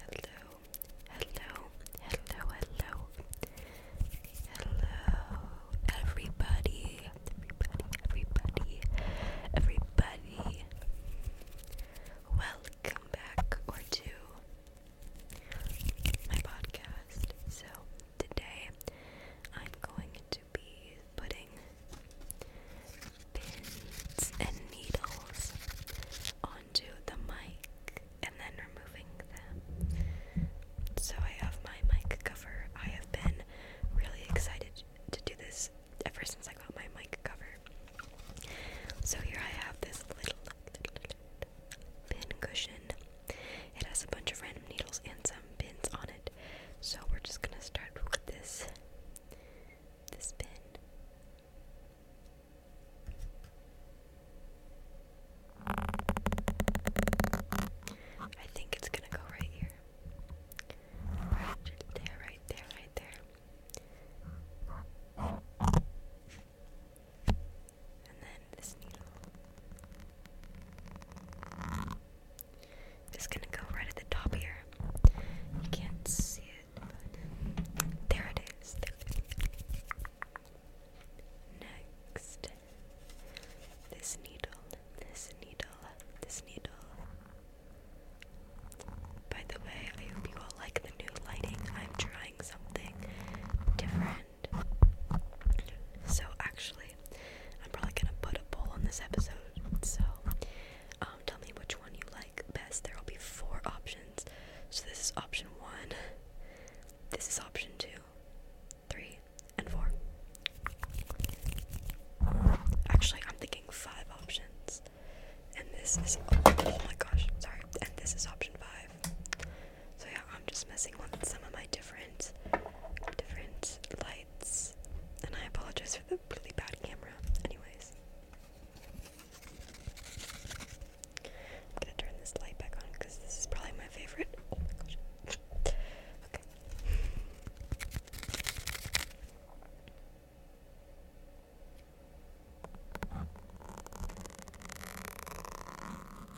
Hello, hello, hello, hello, hello, everybody, everybody, everybody, everybody. Welcome back to my podcast. So today I'm going to be putting pins and needles onto the mic and then removing them. So I have my mic cover. I have been really excited to do this ever since I got my mic cover. So here I have this little pin cushion. It has a bunch of random needles and some pins on it. So we're just gonna start with this this pin. I think it's gonna go right here. Right there, right there, right there. And then this needle. It's gonna go right at the top here. You can't see it, but There it is. Next, this needle, this needle, this needle. By the way, I hope you all like the new lighting. I'm trying something different. So actually, I'm probably gonna put a poll on this episode. So um, tell me which one you like best. There will be four options. So this is option one. This is option two, three, and four. Actually, I'm thinking five options. And this is oh my gosh, sorry. And this is option five. So yeah, I'm just messing with some of my different, different lights, and I apologize for the really bad camera. Anyways, I'm gonna turn this light back on because this is probably my favorite. Oh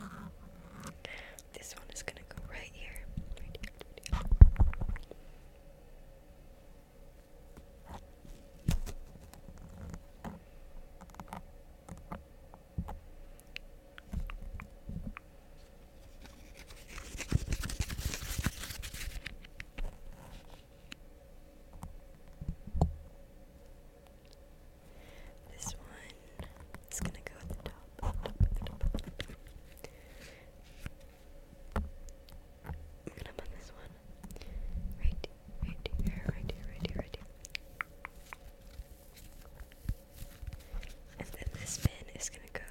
okay. This one is gonna go right here. This one is gonna go at the top. I'm gonna put this one right, right here, right here, right here, right here. And then this pin is gonna go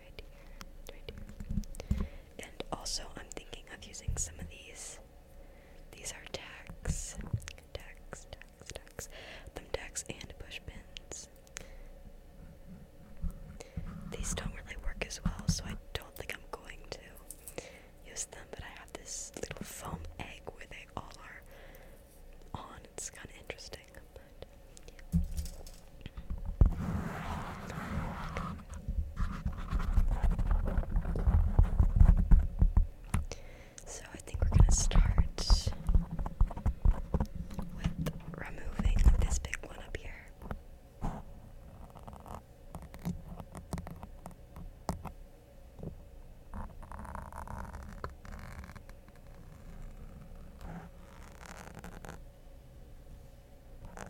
right here, right here. And also, I'm thinking of using some of these these are tacks, tacks, tacks, tacks, thumbtacks, and push pins. These don't really work as well, so I don't think I'm going to use them. But I have this little foam egg where they all are on. It's kind of interesting, so I think we're going to start with removing this big one up here. I'm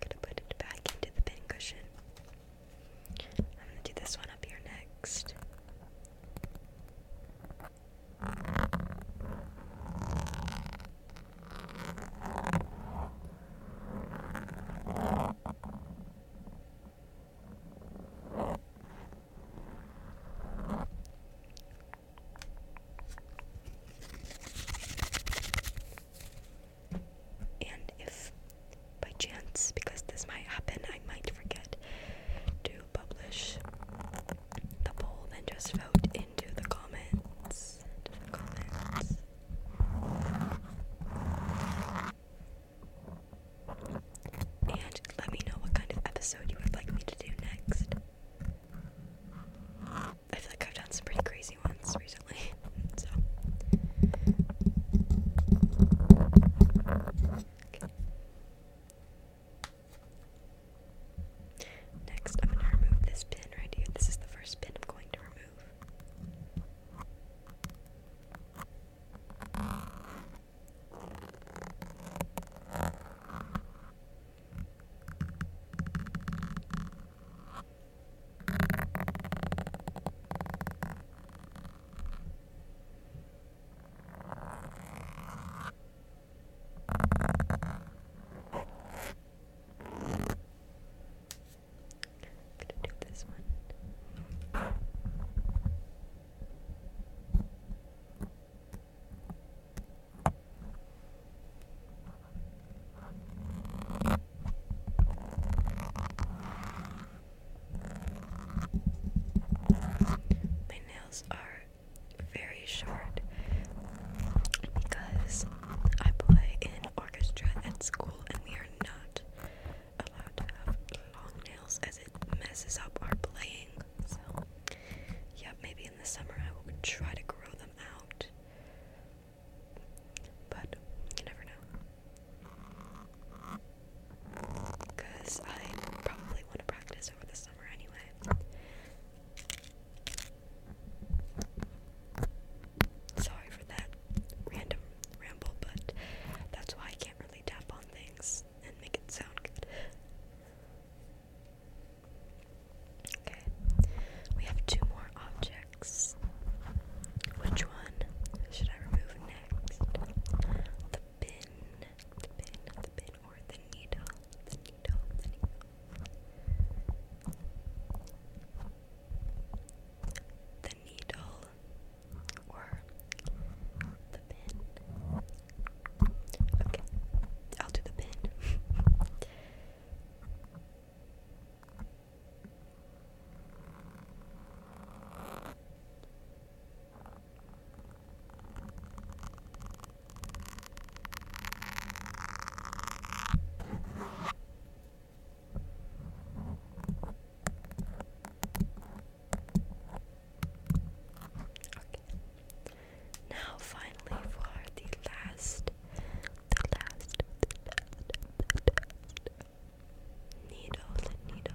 going to put it back into the pincushion. I'm going to do this one up here next. And if by chance, because this might happen, I might forget to publish the poll, then just vote into the comments. And let me know what kind of episode you would like me to do next. I feel like I've done some pretty crazy ones recently, so. Next, I'm going to remove this pin right here. This is the first pin I'm going to remove gonna do this one. My nails are very short because I play in orchestra at school and we are not allowed to have long nails as it messes up our playing. So, yeah, maybe in the summer I will try to grow them out. But you never know. Because I probably want to practice over the summer anyway. Sorry for that random ramble, but that's why I can't really tap on things and make it sound good. Okay, we have two more objects. Which one should I remove and next. The pin, the pin, the pin, or the needle, the needle, the needle. The needle, or the pin. Okay, I'll do the pin. Okay. Now finally for the last the last the last the last needle, the needle. Needle,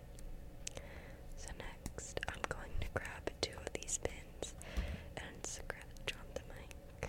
so next, I'm going to grab two of these pins and scratch on the mic.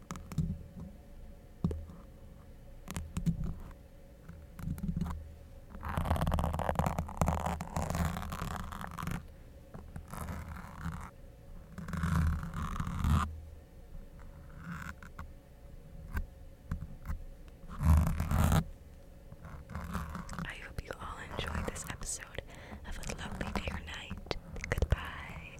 I hope you all enjoyed this episode. Have a lovely day or night. Goodbye.